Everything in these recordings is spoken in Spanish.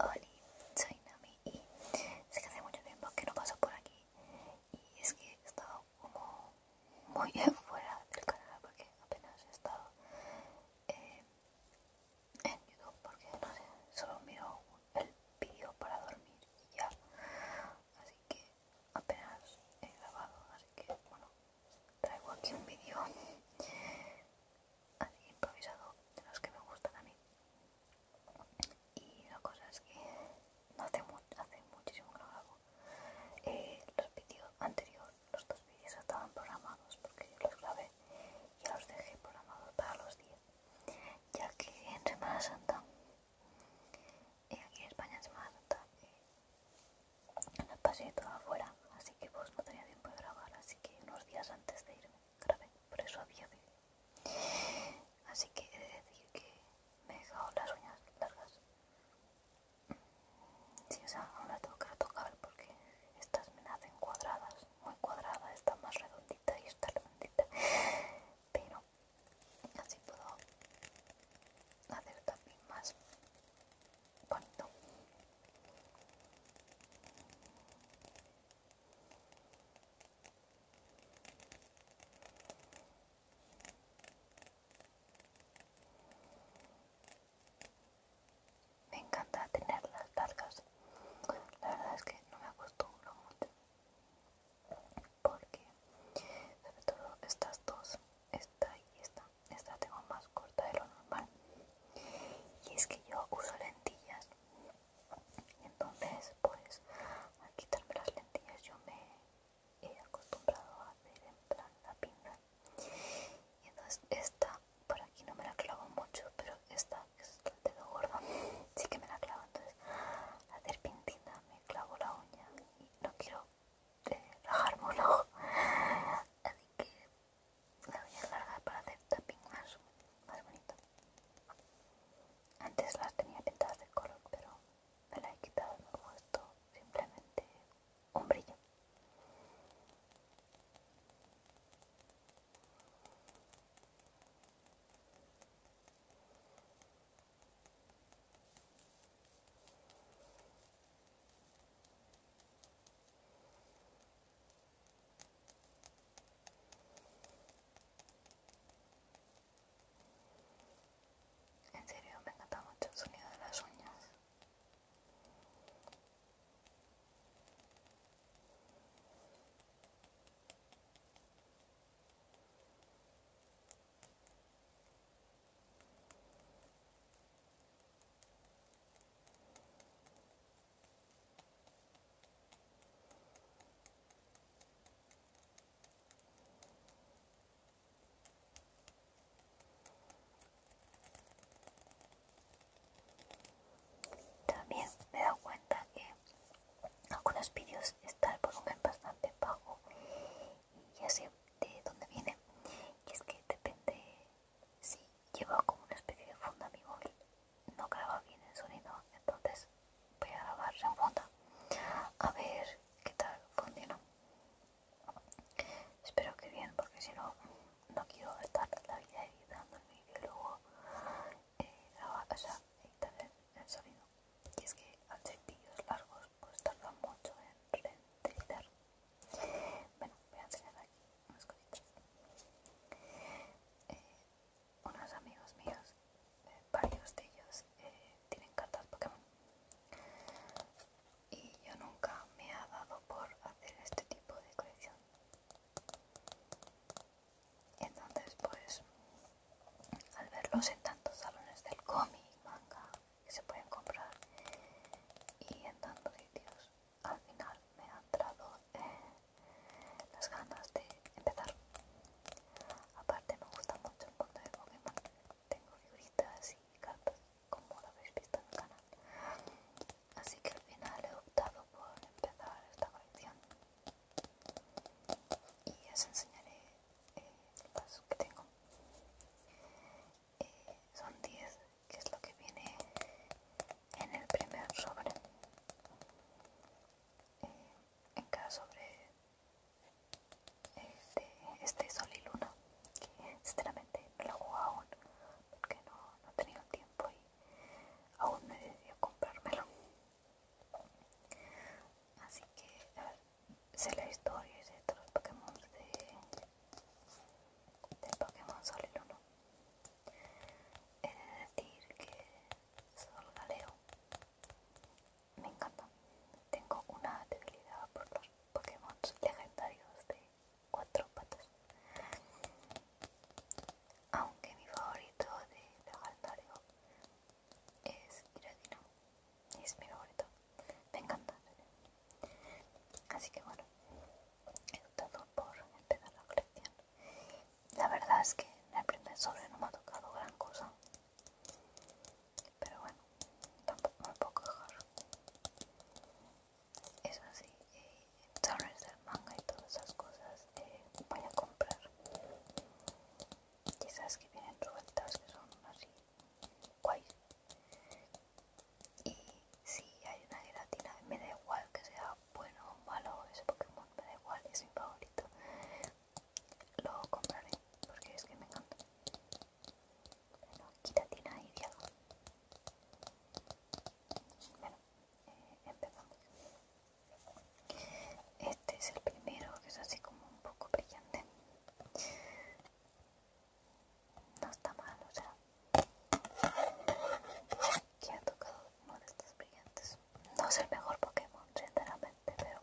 Hola, soy Nami y sé que hace mucho tiempo que no paso por aquí y es que he estado como muy fuera del canal porque apenas he estado eh, en YouTube porque no sé, solo miro el vídeo para dormir y ya, así que apenas he grabado, así que bueno, traigo aquí un vídeo así improvisado de los que me gustan a mí. Y la cosa es que no hace, hace muchísimo que lo grabo. Eh, los vídeos anteriores, los dos vídeos estaban programados porque los grabé y los dejé programados para los días. Ya que en Semana Santa, eh, aquí en España en Semana Santa, eh, pasé todo afuera, así que pues no tenía tiempo de grabar, así que unos días antes de irme por eso había de... Así que he de decir que me he dejado las uñas largas. si o sea, aún las tengo que retocar porque estas me nacen cuadradas, muy cuadradas, esta más redondita y esta redondita. Pero así puedo hacer también más bonito. Me encanta tener las largas. La verdad es que no me acostumbro mucho. Porque sobre todo estas dos, esta y esta, esta tengo más corta de lo normal y es que yo uso lentillas y entonces pues al quitarme las lentillas yo me he acostumbrado a hacer en plan la pinza y entonces esta por aquí no me la clavo mucho pero esta es el gorda gordo sí que me la clavo entonces hacer pintina me clavo la uña y no quiero eh, rajarme un ojo así que la voy a alargar para hacer un más, más bonito. Antes las tenía pintadas de color, pero me la he quitado y me he puesto simplemente un brillo. En serio, me encanta mucho el sonido de las uñas. También me he dado cuenta que algunos vídeos están el volumen bastante bajo y ya sé de dónde viene. Y es que depende Sí, llevo como una especie de funda mi móvil. No graba bien el sonido, entonces voy a grabar en funda. A ver qué tal funciona. Espero que bien, porque si no, no quiero estar la vida editando el vídeo luego eh, a casa editar el, sonido. Y es que los largos, pues tarda mucho en render Bueno, voy a enseñar aquí eh, unos amigos míos, eh, varios de ellos, eh, tienen cartas Pokémon. Y yo nunca me ha dado por hacer este tipo de colección. Entonces, pues, al verlos en tantos salones del cómic, manga, que se pueden comprar y en tantos sitios, al final me ha entrado eh, las ganas de empezar. Aparte me gusta mucho el mundo de Pokémon. Tengo figuritas y cartas como lo habéis visto en el canal. Así que al final he optado por empezar esta colección. Y os enseñaré eh, las que tengo. Eh, son 10 que es lo que viene en el primer sobre. Eh, en cada sobre este, este Sol y Luna, que sinceramente no lo juego aún porque no, no he tenido tiempo y aún me he decidido comprármelo. Así que, a ver, sé la historia y todos los Pokémon de, de Pokémon Sol y Luna. He de decir que solo Galeo me encanta. Tengo una debilidad por los Pokémon legendarios de cuatro patas. Aunque mi favorito de legendario es Giratina, Es mi favorito. Me encanta. Así que bueno, He optado por empezar la colección. La verdad es que en el primer sobre no me ha tocado gran cosa. Pero bueno, tampoco me puedo quejar. Eso sí, eh, del manga y todas esas cosas eh, voy a comprar. Quizás que vienen sueltas que son así guays y si hay una gelatina me da igual que sea bueno o malo ese Pokémon me da igual es mi favorito lo compraré porque es que me encanta bueno gelatina y diálogo bueno eh, empezamos este es el primero que es así como un poco brillante no está mal, o sea, que ha tocado uno de estos brillantes. No es el mejor Pokémon, sinceramente, pero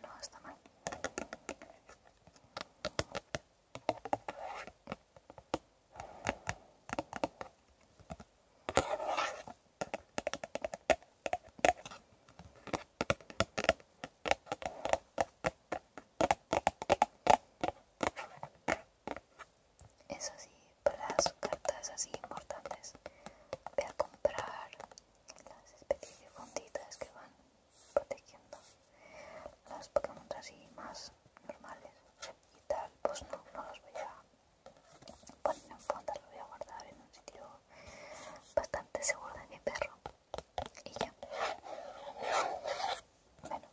no está mal eso sí, para las cartas así importantes voy a comprar las especies de fonditas que van protegiendo los Pokémon así más normales y tal pues no, no los voy a poner en fondas los voy a guardar en un sitio bastante seguro de mi perro y ya bueno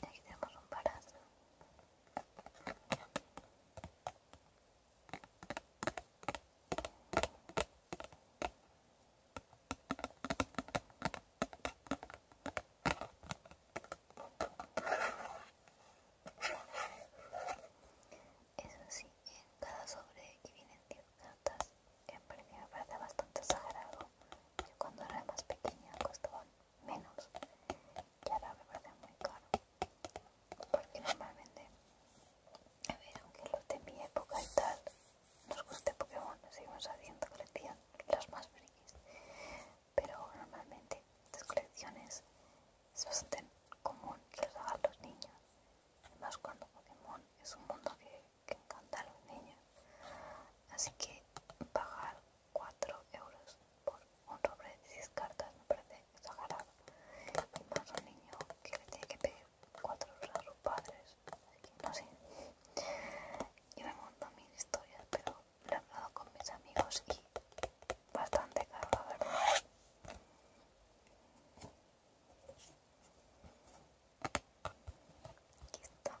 Aquí tenemos un parazo. Eso sí, cada sobre que vienen 10 cartas, en precio me parece bastante exagerado. Yo cuando era más pequeña costaba menos y ahora me parece muy caro. Porque normalmente a ver, aunque los de mi época y tal nos guste Pokémon, seguimos haciendo colecciones, las más frikis pero normalmente estas colecciones es bastante común que los hagan los niños además cuando Pokémon es un mundo que, encanta a los niños así que pagar 4 euros por un sobre de 6 cartas me parece exagerado y más un niño que le tiene que cuatro sus padres, así que no sé. Yo me monto mis historias, pero lo he hablado con mis amigos y bastante caro, la verdad. está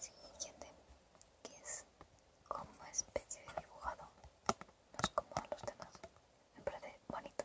Siguiente, que es como especie de dibujado, no es como los demás, me parece bonito.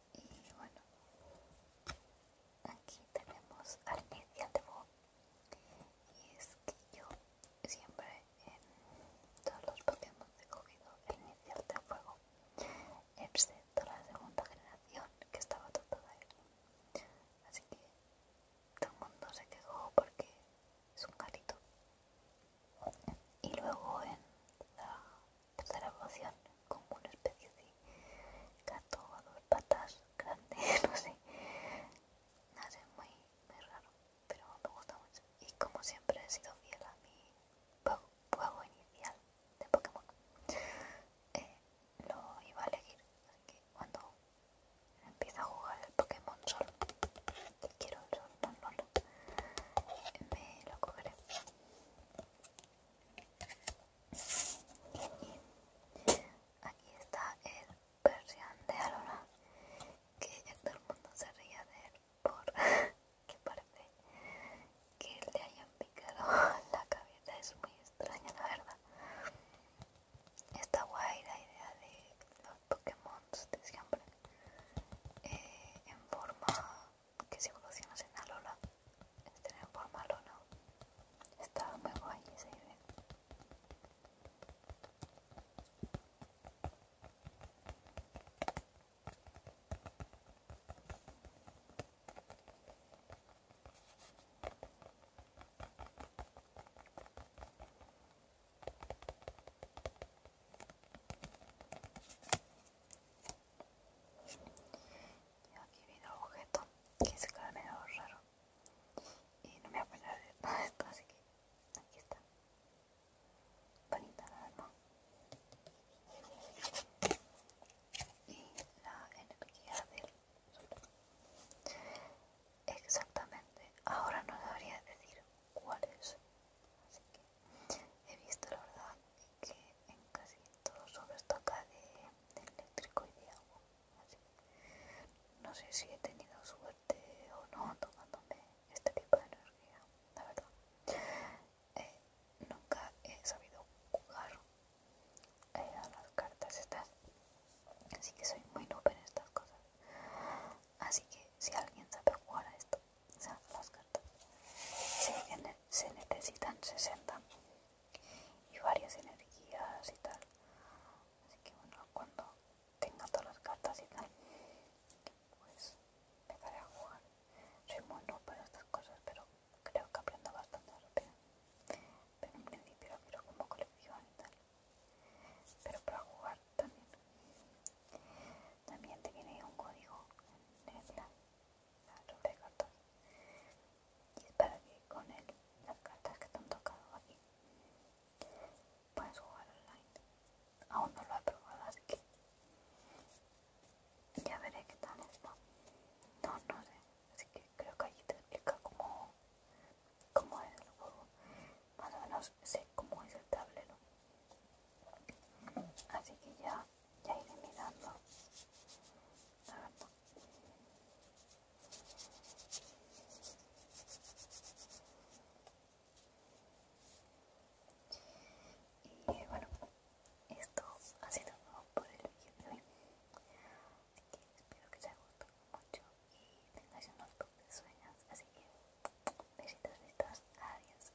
y bueno aquí tenemos al Inicial de juego y es que yo siempre en todos los Pokémon he cogido el inicial de fuego excepto la segunda generación que estaba todo él así que todo el mundo se quejó porque es un carito y luego en la tercera evolución, como una especie de gato a dos patas grande, no sé. No sé, muy, raro, pero me gusta mucho. Y como siempre he sido fiel a mi juego inicial de Pokémon, eh, lo iba a elegir. Así que cuando empieza a jugar el Pokémon Sol, que quiero el Sol, no, no, no, me lo cogeré. Y aquí está el persian de Alora, que ya todo el mundo se ría de él por que parece que le hayan picado la cabeza, es muy extraña la verdad. Está guay la idea de los Pokémon de siempre eh, en forma que si evolucionas en la Lola, es tener forma lona. Está muy guay esa idea y aquí viene el objeto que se queda medio raro y no me voy a nada de esto, así que aquí está. Bonita la verdad. Y la energía del sol. Exactamente, ahora no debería decir cuál es. Así que He visto la verdad que en casi todo sobre toca de, de eléctrico y de agua. Así. No sé si he tenido suerte o no tomándome este tipo de energía, la verdad. Eh, nunca he sabido jugar eh, a las cartas estas. Así que soy muy noob en estas cosas. Así que si alguien sabe jugar a esto, las cartas. Se, necesitan 60 y varias energías y tal. Así que bueno, cuando tenga todas las cartas y tal, pues empezaré a jugar. Soy muy para estas cosas, pero creo que aprendo bastante rápido. Pero en principio quiero como colección y tal. Pero para jugar también. También te viene un código en el sobre cartas y es para que con él las cartas que te han tocado aquí puedes jugar online aún no lo he probado así que ya veré qué tal está no no sé así que creo que allí te explica cómo, cómo es el juego más o menos sé cómo es el tablero así que ya ya iré mirando y bueno esto ha sido todo por el vídeo de hoy así que espero que os haya gustado mucho y tengáis unos de sueños así que besitos besitos adiós